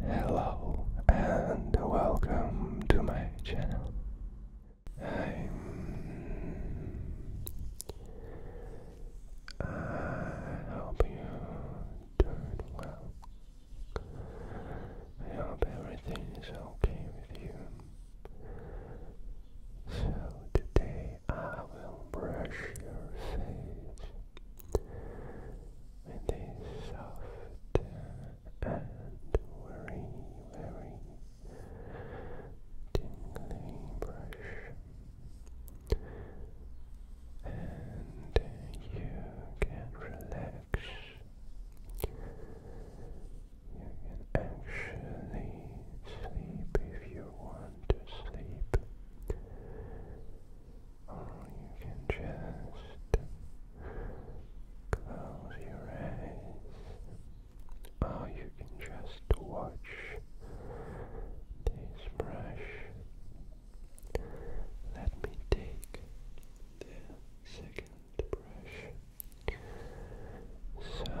Hello and welcome to my channel. i I hope you're well. I hope everything is okay with you. So today I will brush your face with a soft and very, very tingly brush, and you can relax. You can actually sleep if you want to sleep you can just close your eyes, or you can just watch this brush. Let me take the second brush. So. Mm.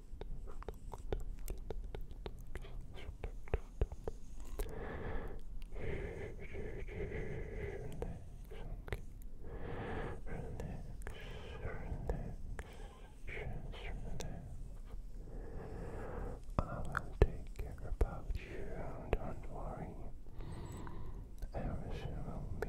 I will take care about you, don't worry. Everything will be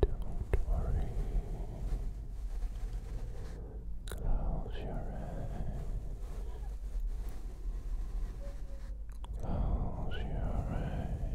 Don't worry. Close your eyes. Close your eyes. Close your eyes.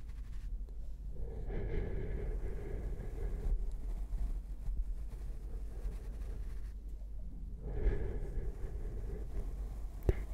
Close your eyes. Just close your eyes.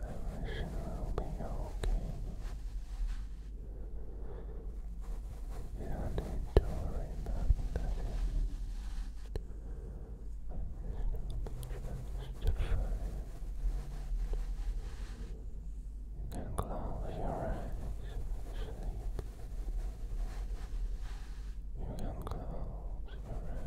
I wish you will be okay. You don't need to worry about It's not justified. You can close your eyes You can close your eyes.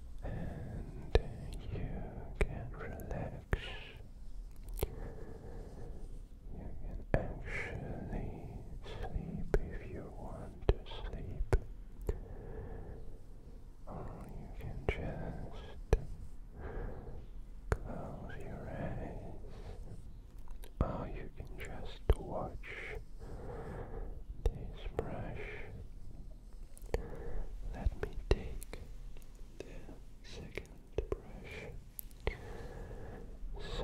and you can relax. You can actually sleep if you want to sleep, or you can just close your eyes, or you can just watch this brush. Let me take the second brush. So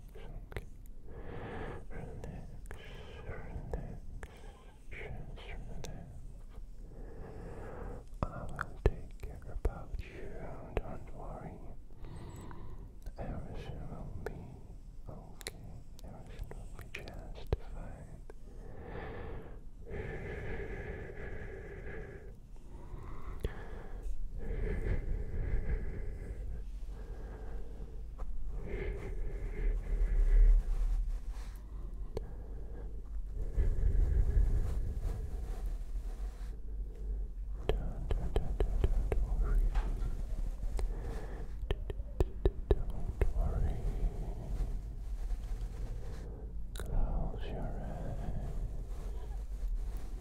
relax, relax, just relax. I will take care about you, don't worry. Everything will be okay, everything will be just don't worry. Close your eyes.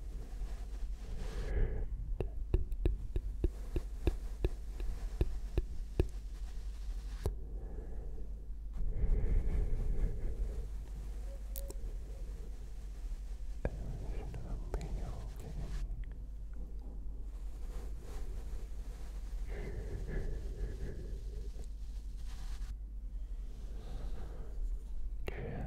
Everything will be okay. Close your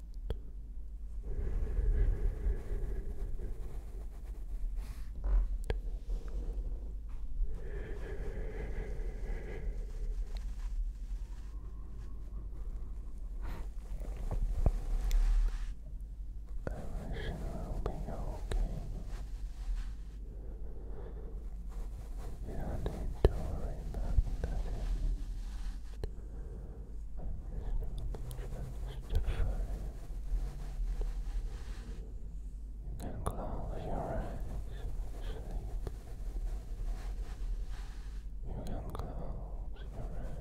will be okay. You don't need to worry about that. You can close your eyes to sleep. You can close your eyes.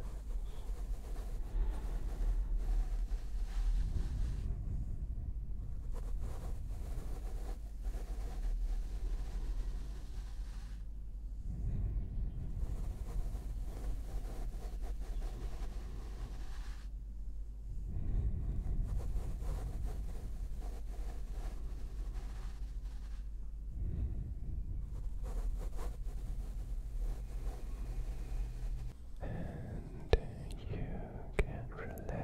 And you can relax. You can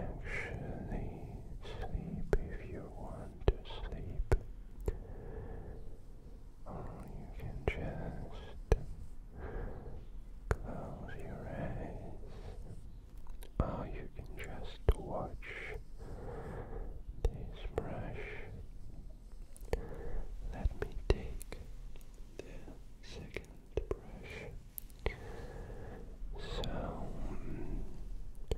actually sleep if you want to sleep, or you can just close your eyes, or you can just watch this brush. Let me take the second brush. So,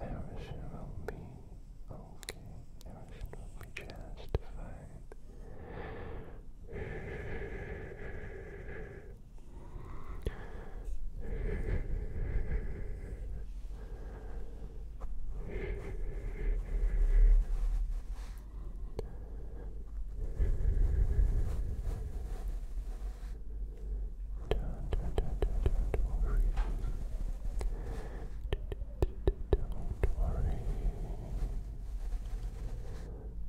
Everything will be okay. Everything will be just don't worry. Don't worry.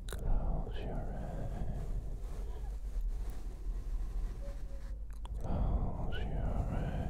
Close your eyes. Close your eyes. Close your eyes.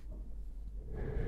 As you relax,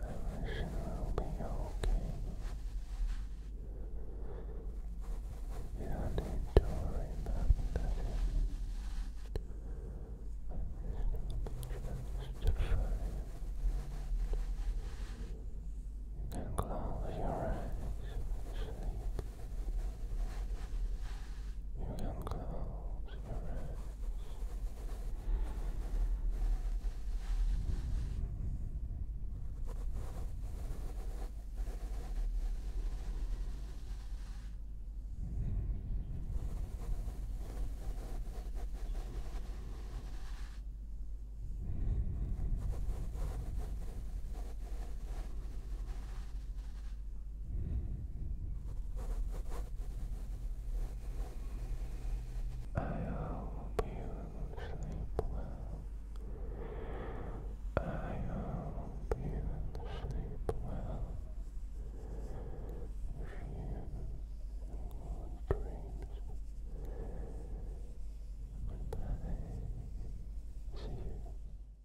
I wish you be okay. You don't need to worry about nothing. It's just fine. You can close your eyes you unclose your eyes. I hope you sleep well. I hope you sleep well. Few and dreams. Goodbye. See you.